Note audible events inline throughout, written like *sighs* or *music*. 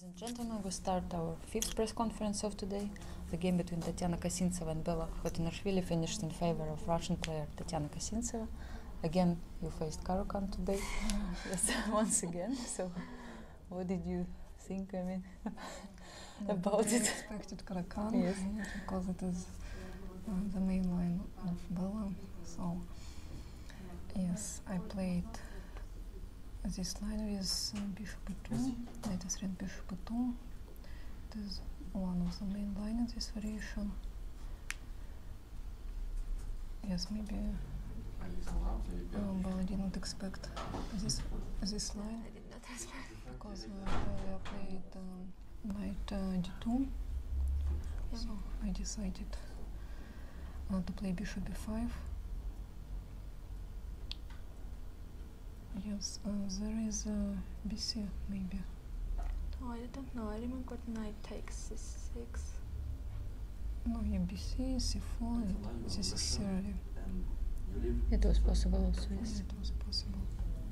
Ladies and gentlemen, we start our fifth press conference of today. The game between Tatiana Kasintseva and Bella Khotinashvili finished in favor of Russian player Tatiana Kasintseva. Again, you faced Karokan today, *laughs* yes, *laughs* once again. So, what did you think? I mean, *laughs* about I it. I expected Karokan yes. because it is uh, the main line of Bella. So yes, I played this line with uh, bishop e2. Knight e3 bishop e2. It is one of the main line in this variation. Yes, maybe uh, Bella didn't expect this this line. I did not expect because uh, I played um, knight d2, so I decided uh, to play bishop b5. Yes, there is bc maybe. Oh, I don't know. I remember knight takes c6. No, yeah, bc, c4, this is It was possible yes. It was possible.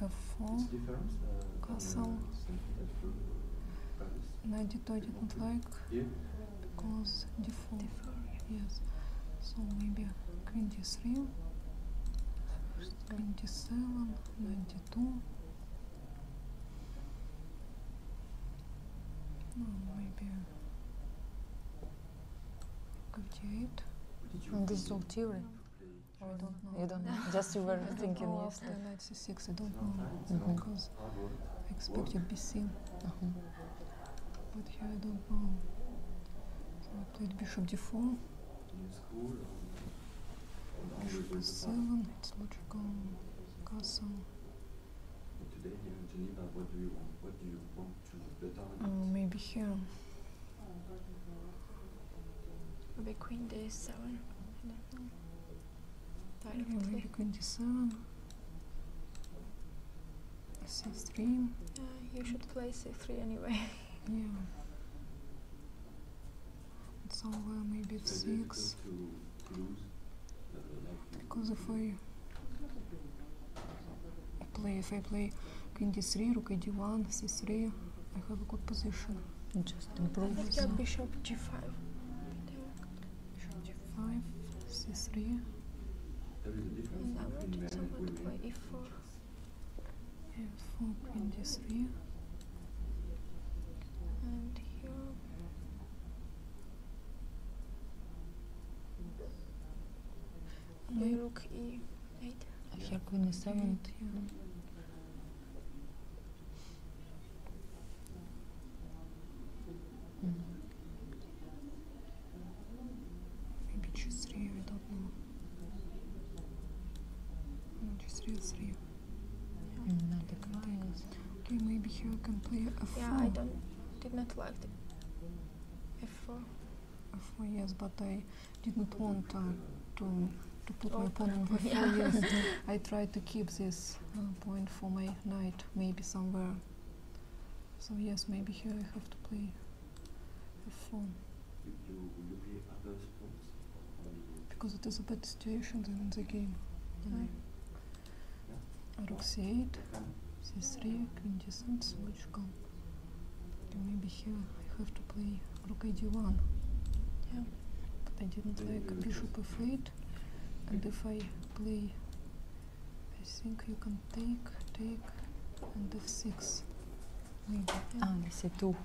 a full uh, castle. And I did, I didn't like yeah. because default. default yeah. Yes. So maybe queen d3, queen d7, knight d2. No, maybe fd8. And this is all theory. I don't know. You don't know. *laughs* Just you were thinking yesterday. After I don't know mm-hmm. because I expected BC, uh-huh. but here I don't know. I played Bishop D4. Bishop E7. It's logical castle. Today here in Geneva, what mm, maybe here. Ve Queen d 7 directly. Queen d 7. C3. Uh, you should play C3 anyway. *laughs* yeah. So maybe F6. Because if I play, if I play queen d3, rook d1, c3, I have a good position. Just improve. I think bishop g5. Bishop g5, c3. And I wanted someone to play e4. f4, queen d3. And here. Mój róg i Nate. If you're gonna seven, yeah. Mm. Maybe choose three, I don't know. No, just real three. Yeah. Mm, not the containers. Okay, maybe here I can play a four. Yeah, I don't did not like the F4. F4, yes, but I didn't want to to put my pen on the *laughs* floor. *laughs* I tried to keep this uh, point for my night, maybe somewhere. So yes, maybe here I have to play a pawn. Because it is a better situation than in the game. Mm-hmm. Rook 8 c3, queen descends, logical maybe here I have to play rook d1. Yeah, but I didn't like bishop f8. And if I play, I think you can take, take, and f6. Maybe. Yeah. say ah, 2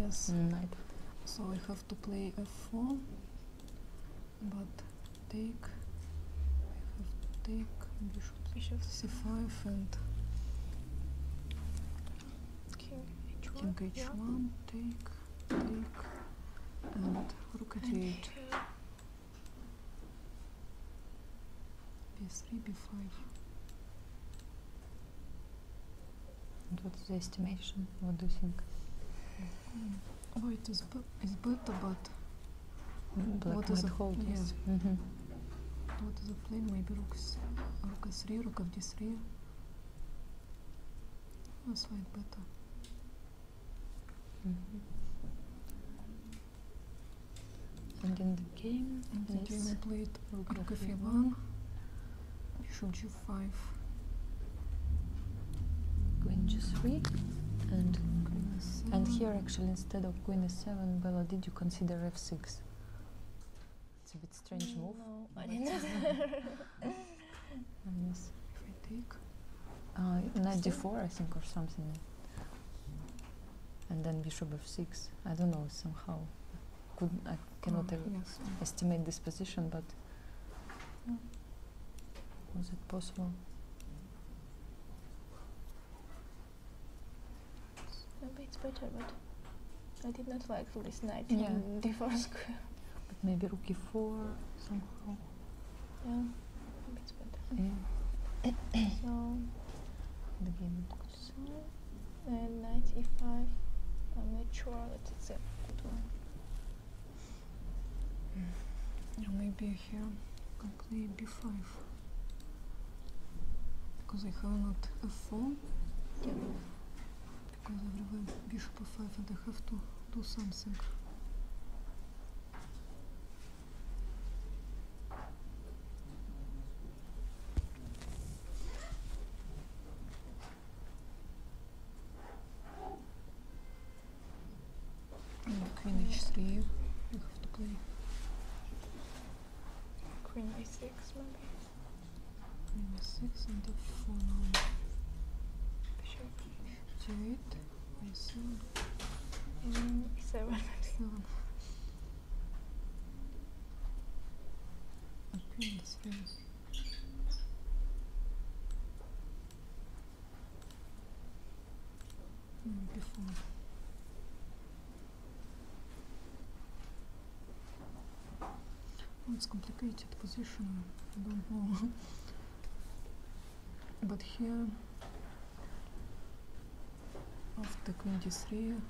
Yes. Knight. Mm, so I have to play f4. But take, I have to take bishop, bishop. c5 and King h1. take, take, and rook at and 8 b 5 what's the estimation? What do you think? Oh, it is, is better, but. what is the hold? Yes. Mm-hmm. What is the plane? Maybe rook, rook a3, rook of d3. That's oh, like better. Mm -hmm. And in the game, in the game I played rook, rook of e1, bishop g5, queen g3, and and here actually instead of queen e7, Bella, did you consider f6? It's a bit strange mm, move. No, I didn't. Minus if I take uh, I think, or something. And then bishop of 6 I don't know, somehow. Could I cannot oh, estimate this position, but mm. was it possible? Maybe it's better, but I did not like this knight yeah. in d4 square. But maybe rook e4 somehow. Yeah, maybe it's better. Yeah. so, *coughs* the game goes. So, and knight e5. I'm sure that it's a good one. Mm. Yeah, maybe here I can play b5. Because I have not a 4 yeah. Because otherwise bishop f5 and I have to do something. Queen h3, you have to play. Queen a6 maybe? Number six into four nine. Bishop. G eight. By seven. And seven. Seven. Open this face. Before. Oh, it's complicated position, I don't know. but here, after queen d3,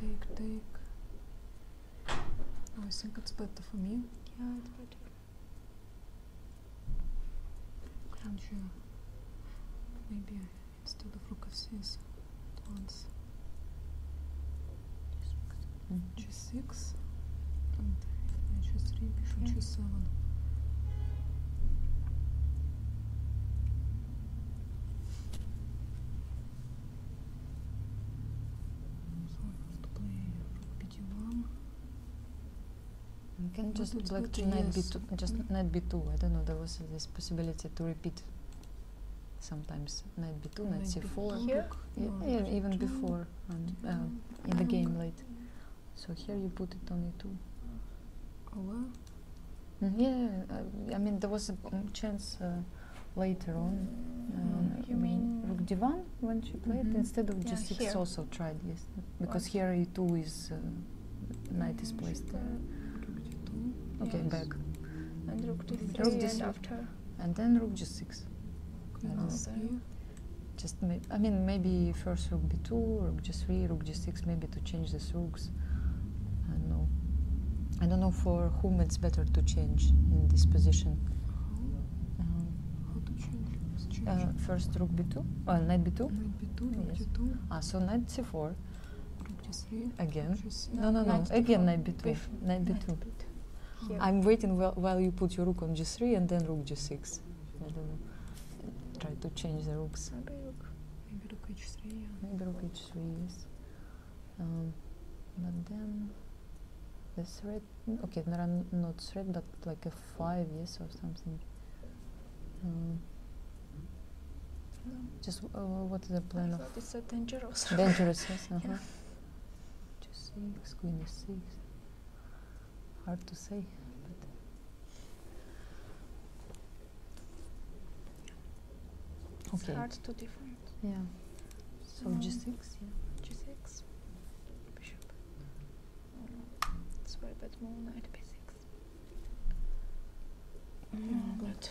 take, take. Oh, I think it's better for me. Yeah, it's better. I'm sure. Maybe instead of rook f6 once mm-hmm. 6 and 7 just but black to 2 just mm -hmm. 2 I don't know. There was this possibility to repeat sometimes night b2, knight, knight c4, here? Yeah, э, even before um, uh, in the game late. So here you put it on e2. Oh, well. Mm-hmm, yeah, I mean there was a um, chance uh, later on. Mm, uh, you mean rook d1 when she played mm-hmm. instead of just g6 also tried yes because here e2 is knight is mm, placed there. Okay, back. rook d3 and after and then rook g6. Just I mean maybe first rook b2, rook g3, rook g6, maybe to change these rooks. I don't know. I don't know for whom it's better to change in this position. How, uh-huh. to change? Uh, first rook b2, knight b2. Knight b2, rook g2. Ah, so knight c4. Three? Again? Just no, no, no. Again, knight b2. Bef knight b2. Knight b2. Here. I'm waiting while, while you put your rook on g3 and then rook g6. I don't know. Try to change the rooks. Maybe rook, maybe rook h3. Yeah. Maybe rook h3, yes. Um, but then the threat, okay, not threat, but like a 5, yes, or something. Um, just uh, what is the plan of? It's so dangerous. Dangerous, yes. Uh *laughs* -huh. yeah. Uh-huh. Just 6, queen e6. Hard to say, but. It's okay. hard to defend. Yeah. So um, g6, yeah. g6, bishop. Oh, it's very bad move, knight 6 No, but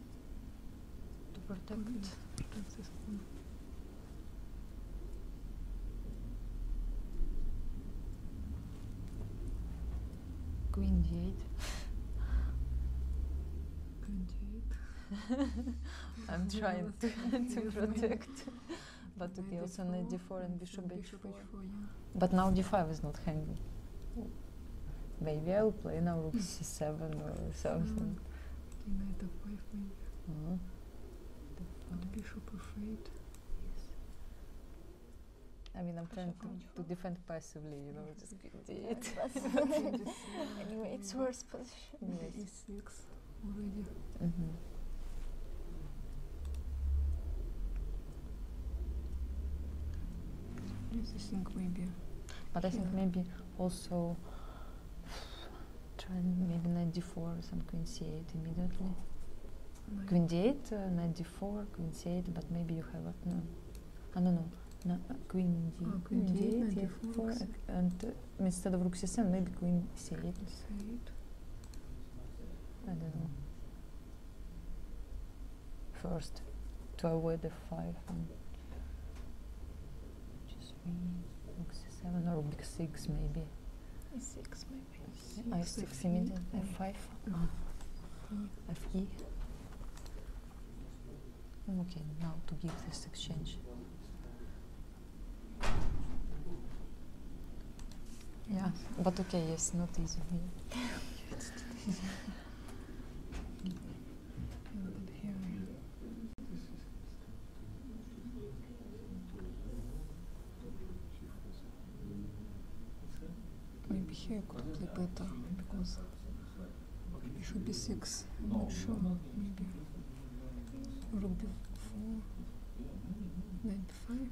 to protect this one. Queen Jade. Queen *laughs* I'm trying to, *laughs* protect. but it also knight d4 and bishop h4. Yeah. But now d5 is not handy. Maybe I'll play now rook *laughs* c7 or something. Hmm. I mean, I'm trying to, defend passively, you know, just *laughs* anyway, it's worse position. Yes. already. Mm-hmm. But I think maybe also try maybe ninety four, d some queen 8 immediately. Knight. Queen d queen 8 but maybe you have a no. I don't know. No, uh, queen d, queen d and instead of rook c7, maybe queen c8. 8 I don't know. First, to avoid the 5 mm. Just seven or big six maybe. six maybe. Six I six immediately. F five. Mm. Uh-huh. F E. Okay, now to give this exchange. Yeah, but okay, yes, not easy. *laughs* *laughs* Maybe here could play better because should be six. I'm not sure. Maybe rook b4, knight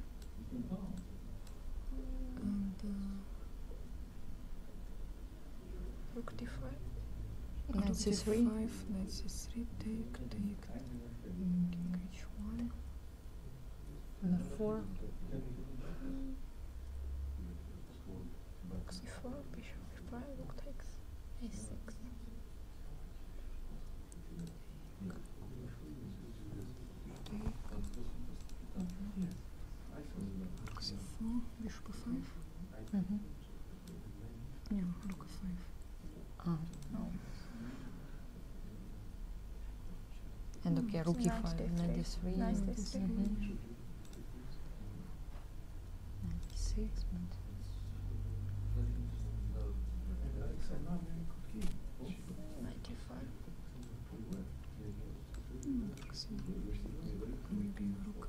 and uh, Rook d5. Knight c3. Knight c3. Take, take. King h1. And four. Rook c4. Bishop f5. Rook takes a6. Bishop 5 Mm-hmm. Yeah, look at oh. no. And okay, mm, rookie so five, ninety three, ninety six, but. Ninety-five. Mm, maybe rook four.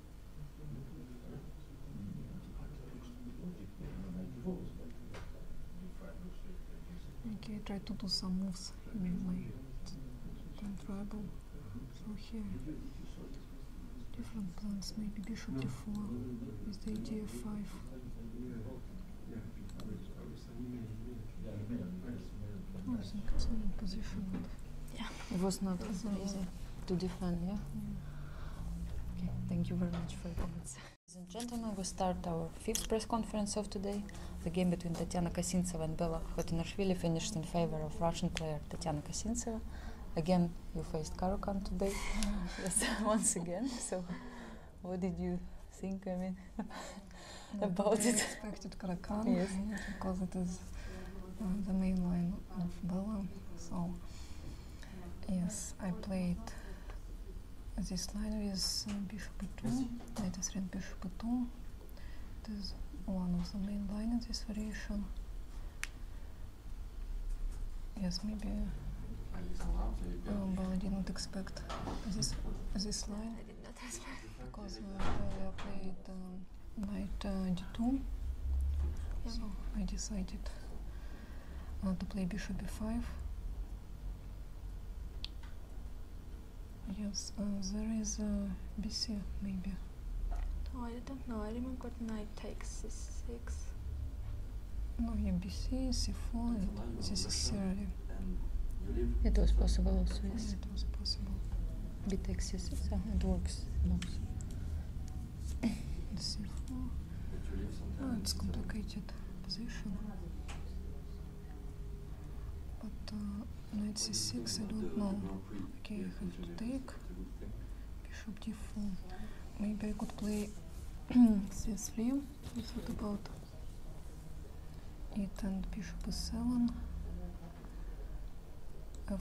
Okay, I try to do some moves in my contrivable. So here, different plans, maybe bishop d4 with the idea 5 I think position. Yeah, it was not easy to defend, yeah? Okay, thank you very much for your comments. Ladies and gentlemen, we start our fifth press conference of today. The game between Tatiana Kasintseva and Bella Khotinashvili finished in favor of Russian player Tatiana Kasintseva. Again, you faced Karukan today, *laughs* *laughs* once again. So, what did you think? I mean, *laughs* about I it. Expected Karukan, yes, because it is uh, the main line of Bella. So, Yes, I played this line with bishop b2. Knight e3 bishop b2. It is one of the main lines, in this variation. Yes, maybe. Uh, um, well, I didn't expect this this line because uh, I played um, knight uh, d2, so I decided I want to play bishop b5. Yes, uh, there is a b c maybe. Oh, I don't know. I remember knight takes c6. No, yeah, b c 4 this is theory. It was possible also, yes. it was possible. b takes c6, uh, it works. No. It's simple. No, it's complicated position. But uh, knight c6, I don't know. Okay, I have to take bishop d4. Maybe I could play c3. I thought about it and bishop e7. Uh,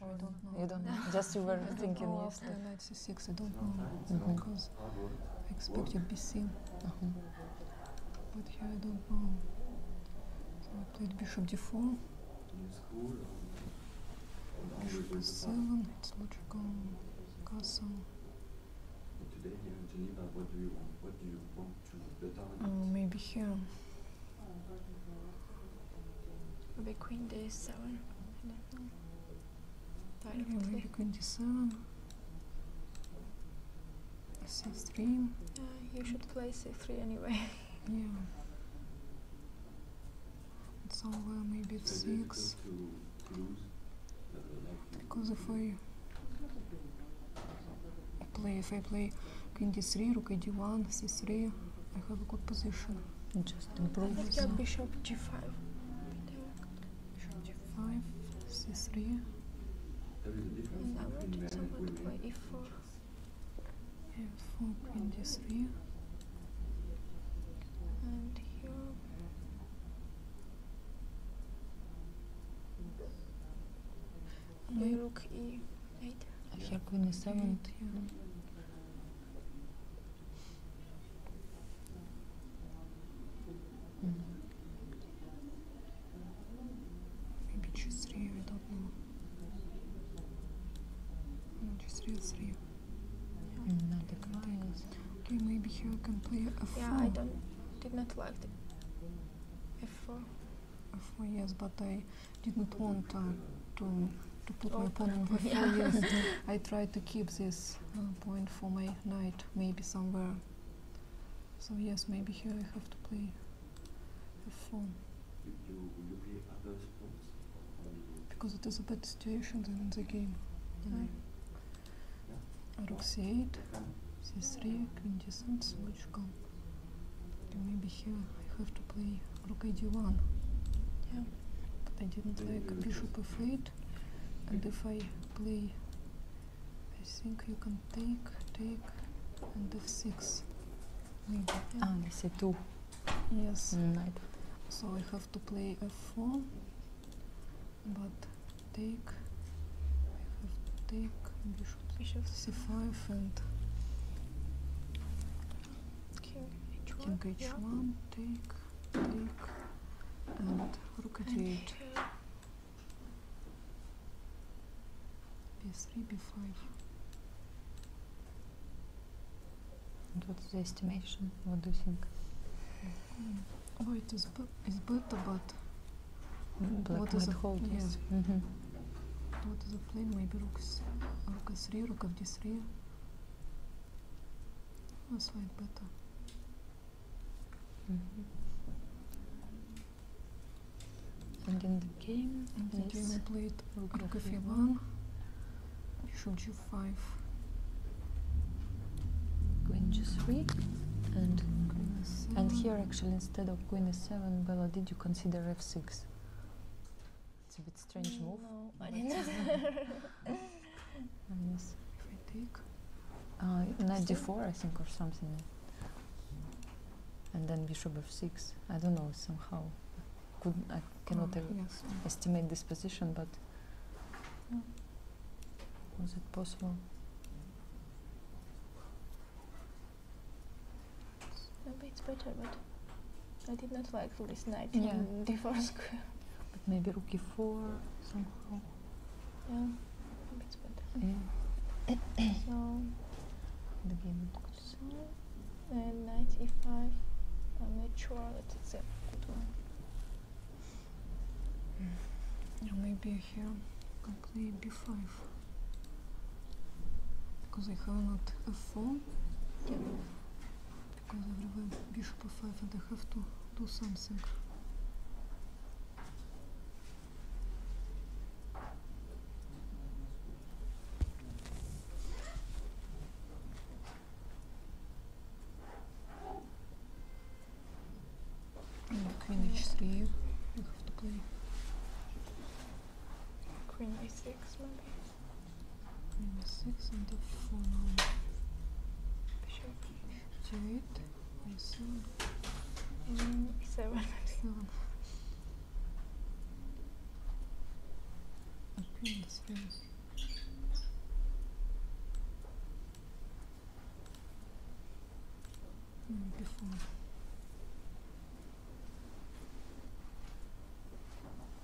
I don't know. You don't know. *laughs* Just you were thinking yesterday. 96, I don't know. Mm -hmm. Because expected BC. Uh-huh. But here I don't know. I played bishop d4. Uh, bishop s7. Uh, it's logical. Castle. Today in Geneva, what do you want? What do you want to better? Oh, maybe here. Maybe queen d7. I don't know directly. condição. C3. Uh, you should play C3 anyway. *laughs* yeah. It's somewhere maybe F6. Because if I play, if I play Queen D3, Rook D1, C3, I have a good position just improve. I think bishop g5. Bishop g5, c3. Yeah, what is about by e4? f4, queen d3. And here. Maybe look e8. Here queen e7. Yeah. Mm-hmm. Maybe choose three, I don't know. just real three. Yeah. Mm, okay, maybe here I can play a Yeah, I don't did not like the F4. F4, yes, but I did not want uh, to to put my pen on paper. *laughs* Yeah. *laughs* I try to keep this uh, point for my knight, maybe somewhere. So yes, maybe here I have to play f4. Because it is a bad situation than in the game. Mm. Yeah. Rook c8, c3, queen descends, logical. Okay, maybe here I have to play rook ad1. Yeah. I didn't like bishop f8 and if I play I think you can take take and f6 maybe yeah? ah this is 2 yes knight mm, so I have to play f4 but take I have to take bishop, bishop. c5 and king h1, take and rook at and b3 b5 what's the estimation what do you think mm. oh it is better but mm, what is the hold yes mm-hmm. what is the plane maybe rook rook 3 rook f d3 o swipe button. Mm And in the game, in the game I played Rukafia 1, Bishop g5, Queen g3, and and here actually instead of Queen e7, Bella, did you consider f6? It's a bit strange move. *laughs* Uh, Ninety-four, I think, or something. And then bishop f6. I don't know, somehow. I cannot oh, estimate this position, but was it possible? Maybe It's better, but I did not like this knight yeah. in d4 square but maybe rookie four somehow. Yeah, maybe it's better. Yeah. so the game. So and knight e5. I'm not sure that it's a good one. Yeah, maybe here I can play b5 because I have not a 4 Yeah because I have a bishop of 5 and I have to do something. queen h3 you have to play. Queen a6 maybe? minus 6 into 4 bishop to 8 and 7 and 7 7 okay this is before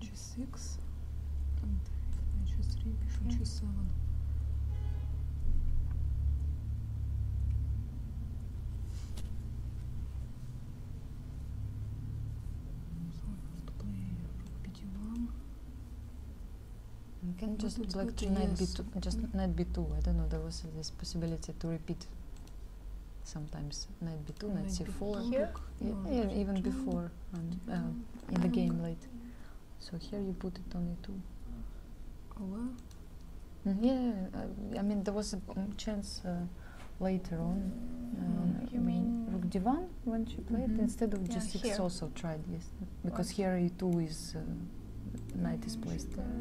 G6 and H3 bishop G7 can just like knight b2 just knight mm. b2 i don't know there was this possibility to repeat sometimes knight b2 knight, c4 yeah, even before and in the oh. game later. So here you put it on only two. Oh wow. Mm, yeah, I, mean there was a chance uh, later on. Mm, uh, you mean Rook Divan when she played mm instead of just G6 also tried yes because here E2 is uh, knight is placed. there.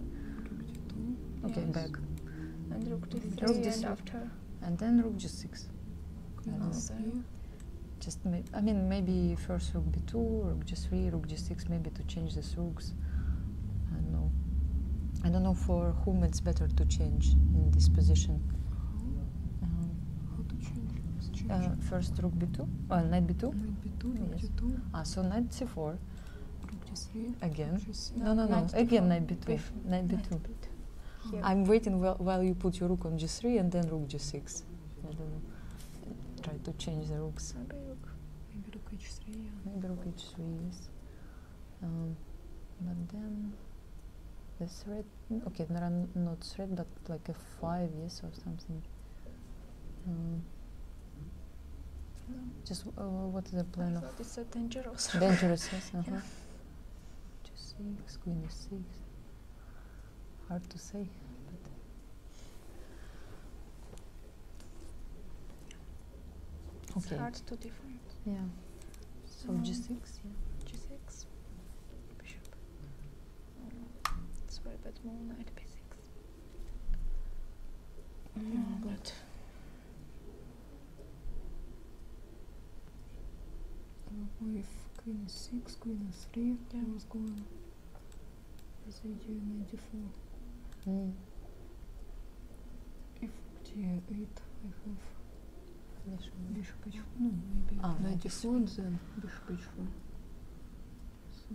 Okay, back. And Rook D3, after. And then Rook G6. I don't just I mean maybe first rook b2, rook g3, rook g6, maybe to change the rooks. I don't know. I don't know for whom it's better to change in this position. Um, how to change? Uh, first rook b2, well, uh, knight b2. Knight b2, yes. Ah, so knight c4. Rook g3. Again. No, no, no. Again, knight b2. Knight b2. I'm waiting while, you put your rook on g3 and then rook g6. I don't know. Try to change the rooks. Maybe rook, maybe rook h3. Maybe rook h3, yes. Um, but then the thread. okay, there not thread, but like a 5, years or something. no. Um, just uh, what is the plan I of? It's so dangerous. Dangerous, *laughs* yes. Uh 6 queen e6. Hard to say. It's okay. hard to different. Yeah. So um, G6, yeah. G6. Bishop. It's very bad move knight B6. No, mm, with queen 6 queen 3 yeah. I was going bishop in 4 Mm. If g ah, knight d4 then bishop h4. So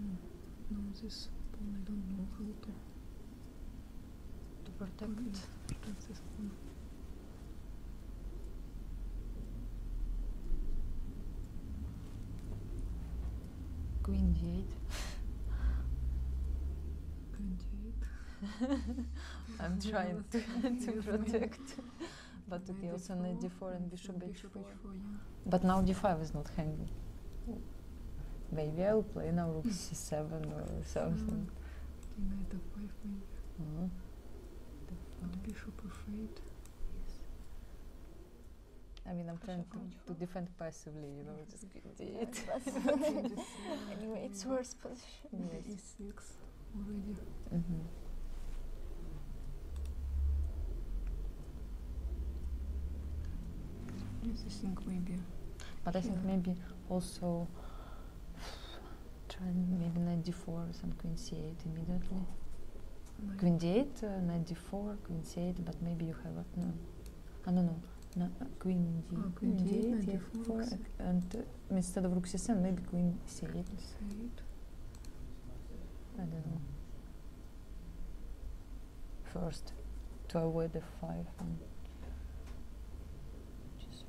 now this pawn I don't know how to to protect, this pawn. Queen jade. Green *laughs* I'm trying *laughs* to, protect. *laughs* but to Knight also knight d4 and bishop h4. Bishop 4 yeah. But now d5 is not hanging. Maybe I'll play now rook c7 or mm. something. Mm. Okay, knight 5 maybe. Mm. The phone. Bishop of Fate. Yes. I mean, I'm trying to, defend passively, you know, just do it. *laughs* anyway, it's worse position. Yes. 6 already. Mm -hmm. But I think maybe also try maybe ninety four, d4 some queen 8 immediately. Knight. Queen d queen 8 but maybe you have a, uh, no. I don't know. No, uh, queen oh, d, uh, and uh, instead of rook c7, maybe queen 8 8 I don't know. First, to avoid the 5 and just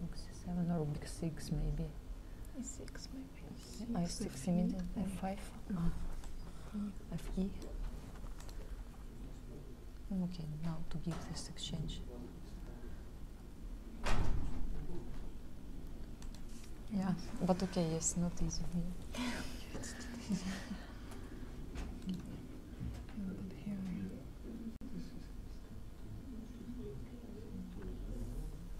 rook 7 or rook 6 maybe. E6 maybe. I6 immediately. F5. No. Fe. Okay, now to give this exchange. Yeah, but okay, yes, not easy. *laughs*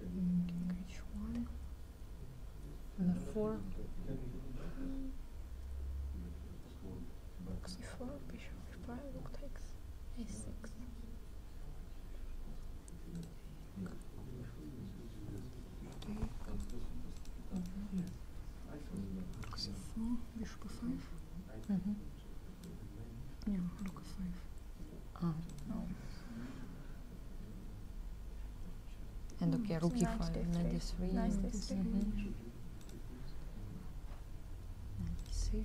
Engage one. And a bishop f5, rook takes a6. Rook bishop f5. Mm -hmm. Yeah, rook f5. Ah, no. And okay, mm, rookie nice for ninety three. Nice mm-hmm. Ninety six.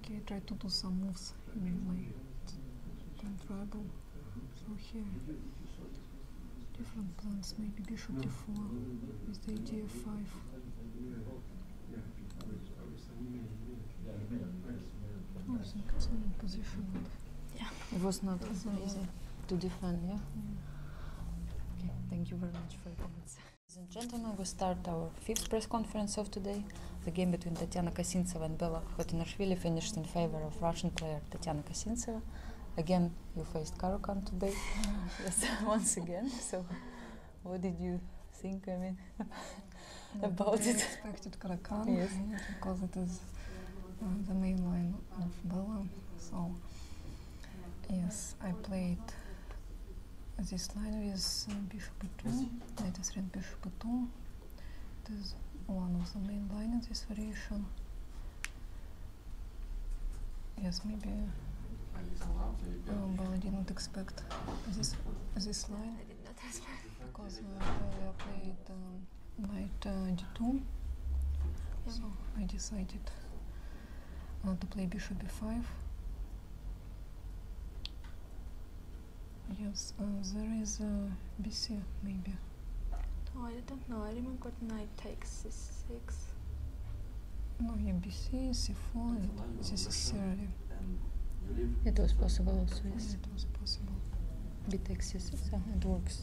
Okay, try to do some moves in my ten tribal. So here, different plans, maybe bishop d4 with the idea 5. Oh, I think position. Yeah, it was not easy to defend, yeah? Okay, thank you very much for your comments. Ladies and gentlemen, we start our fifth press conference of today. The game between Tatiana Kasintseva and Bella Khotinashvili finished in favor of Russian player Tatiana Kasintseva. Again, you faced Karokan today, *laughs* yes, *laughs* once again. So, what did you think? I mean, *laughs* about it. Expected Karokan, yes, because it is uh, the main line of Bella. So Yes, I played this line with bishop b 2 I just read bishop b It is one of the main lines in this variation. Yes, maybe uh, um, well, I didn't expect this this line because I uh, played um, knight uh, d2, so I decided I to play bishop b5 yes uh, there is bc maybe oh i don't know i remember knight takes c6 no yeah bc c4 is necessarily it was possible also yes it was possible b takes c6 it works,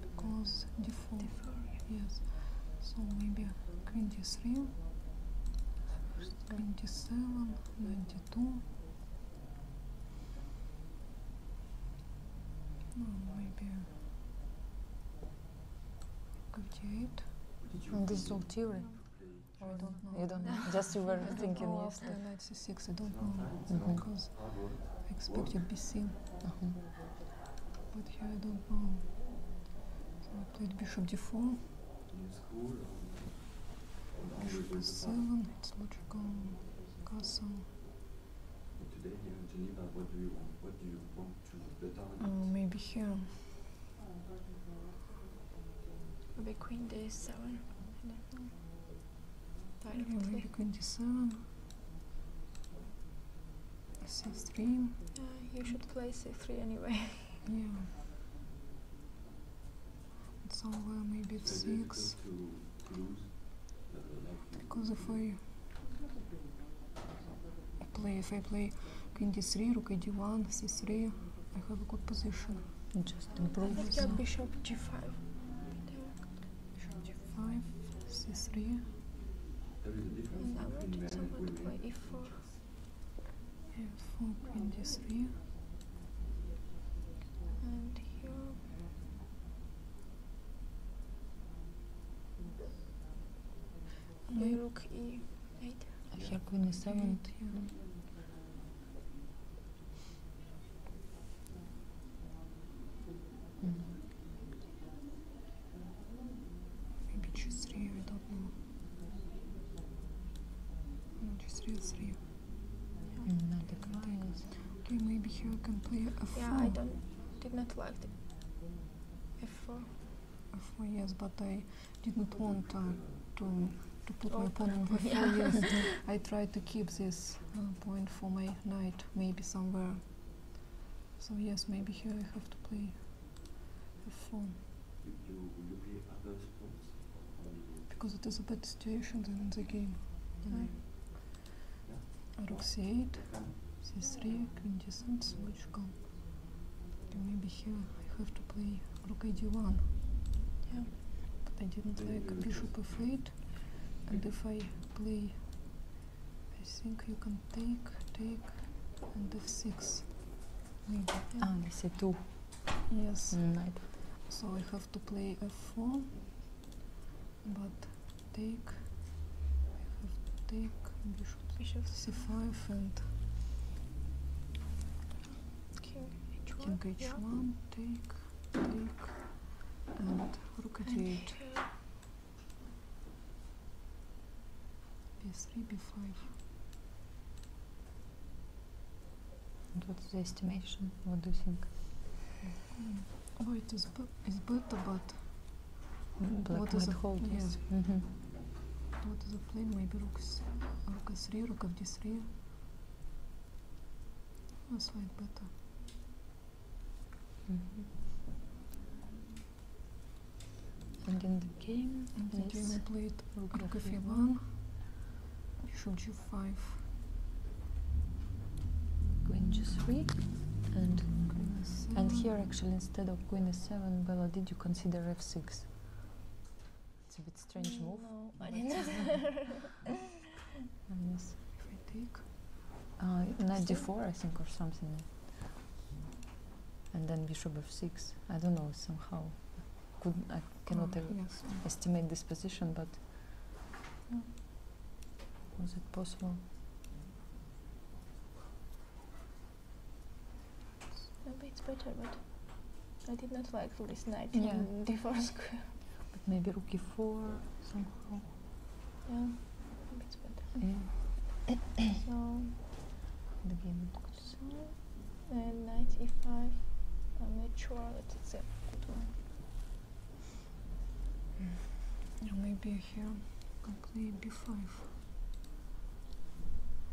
because d4, yes so maybe queen d3 maybe d this is all theory I don't know. You don't know. Just you were thinking. After yes. knight c6, I don't know was expected b be Uh -huh. But here I don't know. So I played bishop d4. Bishop 7 it's logical. Castle. Today here in Geneva, what do you want? to better? maybe here. Maybe queen d7 directly. Condition. C3. Uh, you should play C3 anyway. yeah. Somewhere maybe 6 Because if I play, if I play Queen D3, Rook D1, C3, I have a good position. Just improve. I've Bishop G5 g5, c3. And I wanted someone to play e4. f4, queen d3. And here. My rook e8. Here, queen e7. Mm -hmm. Maybe choose three, I don't know. No, just three. Okay, maybe he I can play a four. Yeah, I don't did not like the f4. f yes, but I did not want uh, to to put my oh, pawn on f4. *laughs* Yeah. yes, I tried to keep this uh, point for my knight, maybe somewhere so yes, maybe here I have to play a phone. Because it is a bad situation than in the game. Right? Hmm. Yeah. Rook c8, c3, queen descends, logical. And maybe here I have to play rook ad1. But I didn't like bishop f8. And if I play I think you can take, take, and f6. Maybe. Yeah? Ah, I see 2. Yes. Mm, so we have to play f4, but take, I have to take bishop, bishop. c5 and king h1, king h1 take, take, and rook at 8 b3 b5 what's the estimation what do you think mm. oh it is it's but what is the hold yes what is the plane maybe rook, rook 3 rook of 3 a slight beta Mm-hmm. And in the game, in the game I played Rook F1, Bishop G5, Queen G3, and and here actually instead of Queen E7, Bella, did you consider F6? It's a bit strange move. No, I didn't. *laughs* *laughs* Unless if I take uh, I think, or something. And then bishop f6. I don't know, somehow. I cannot oh, estimate this position, but was it possible? Maybe it's better, but I did not like this knight yeah. in d4 square. But maybe rook e4 somehow. Yeah, I think it's better. Yeah. so, *coughs* the game. So, and 95. I'm not sure that it's a good one. Mm. Or maybe here I can play b5.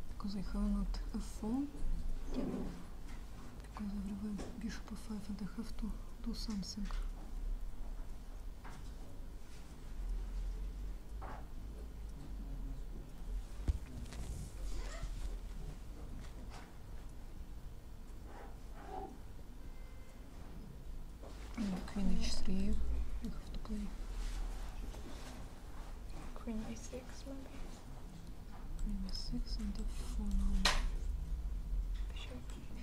Because I have not f4. Yeah. Because I have bishop f5 and I have to do something. Queen h3, you Queen a6 maybe? Queen 6 and f4 now. Bishop.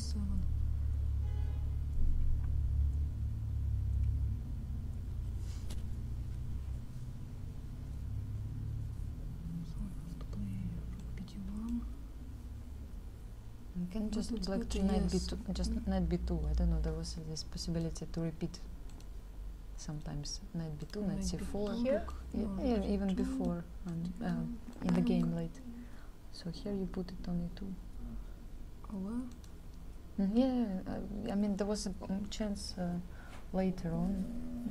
нарисован. You can just like to knight yes. b2, just knight b2. I don't know. There was this possibility to repeat sometimes knight b2, knight, knight c4 yeah, even before um, uh, in the game late. So here you put it only two. Oh wow. Mm, yeah, I mean there was a um, chance uh, later on.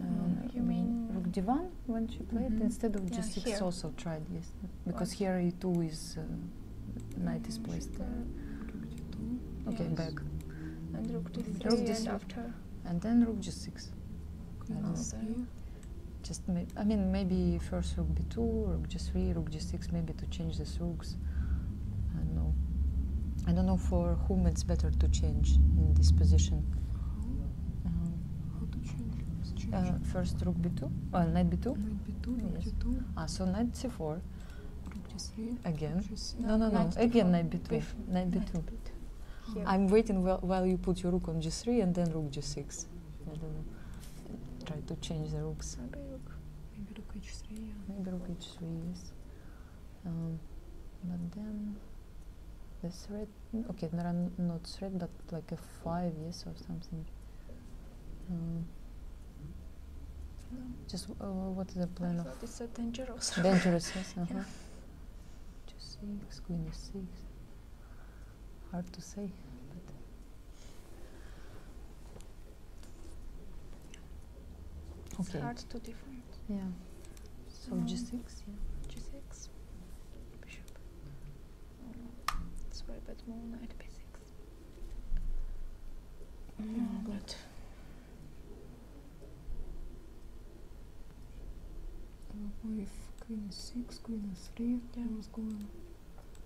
Um, you mean Rook Divan when she played mm-hmm. instead of yeah, 6 here. also tried yes because here E2 is uh, knight is placed there. Okay, back. And Rook D3 after. And then Rook G6 just I mean maybe first rook b2, rook g3, rook g6, maybe to change the rooks. I don't know. I don't know for whom it's better to change in this position. How, to change uh, first rook b2, well uh, knight b2. Knight b2, rook yes. 2 Ah, so knight c4. Rook g3. Again. No, no, no. Again knight b2. Knight b2. I'm waiting while you put your rook on g3 and then rook g6. I don't know. Try to change the rooks. Maybe rook. Maybe rook h3. Maybe rook h3. Yes. but then the thread. Okay, not not threat, but like a five years or something. Um, just uh, what is the plan I of? It's so dangerous. *laughs* Dangerous, yes. Uh *laughs* -huh. yeah. Just uh-huh. six, queen is six. Hard to say, but it's okay. Yeah. So um, 6 yeah. 6 bishop. Oh, it's very bad move, knight b6. No, but... Oh, if queen is 6, queen is 3, yeah. I was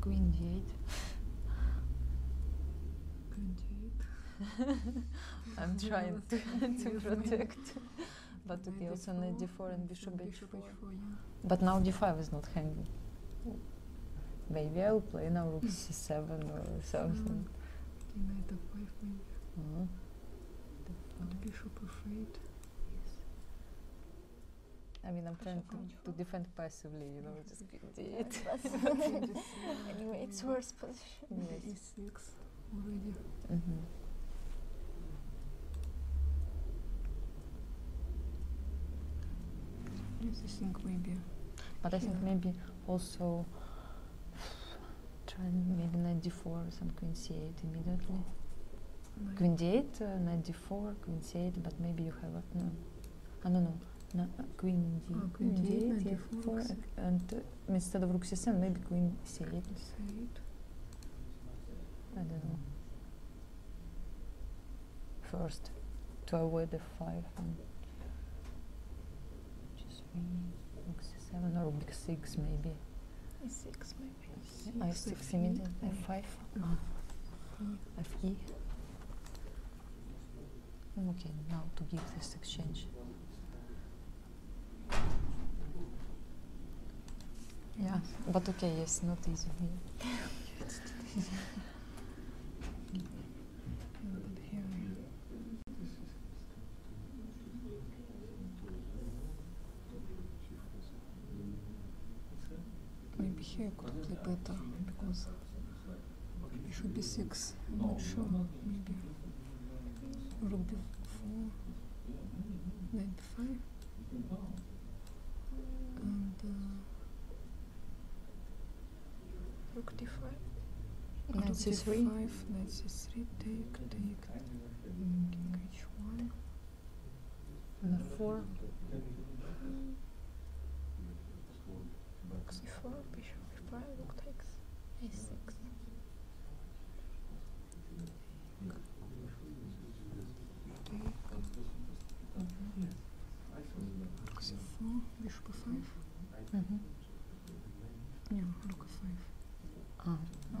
Quindi 8. *laughs* I'm *laughs* trying to, *laughs* protect. but to be also knight d4 and bishop h4. Yeah. But now d5 is not hanging. Maybe I'll play now rook c7 or something. Mm. Knight d5 maybe. Mm. Bishop f8. Yes. I mean, I'm trying to, to defend passively, you know, just get it. *laughs* anyway, it's worse position. Yes. E6 already. Mm -hmm. Yes, I think maybe. But I think maybe also *sighs* try maybe knight d4, some queen c8 immediately. Knight. Queen d8, uh, knight d4 c4, queen c8, but maybe you have uh, no, I don't know, no, uh, queen ah, d, 4 and uh, instead of rook 7 maybe queen 8 8 I don't know. First, to avoid the 5 and rook 7 or rook 6 maybe. e6 I 6 immediately, F5, Fe. Okay, now to give this exchange. Yeah, but okay, yes, not easy. *laughs* Maybe here I could play better because it should be six. I'm not sure. Maybe rook b4, knight 5 and uh, rook d take, take, one На four. Rook c4, bishop b5, rook takes a6. c4, bishop b5. Mm-hmm. Yeah, rook f5. Ah, no.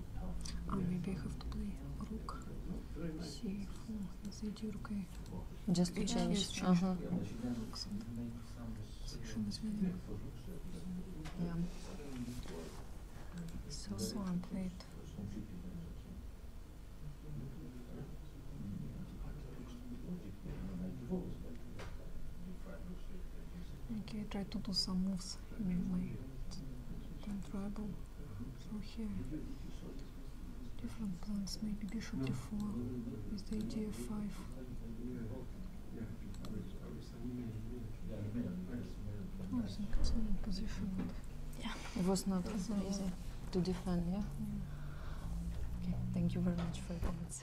maybe I have to play rook, c4, зайди рукой. Just to change. Yeah, uh -huh. Совершенно played. Okay, I tried to do some moves in my tribal. So here, different plans, maybe bishop d4 with the idea 5 Yeah, it was not as easy to defend, yeah. Okay, thank you very much for your comments.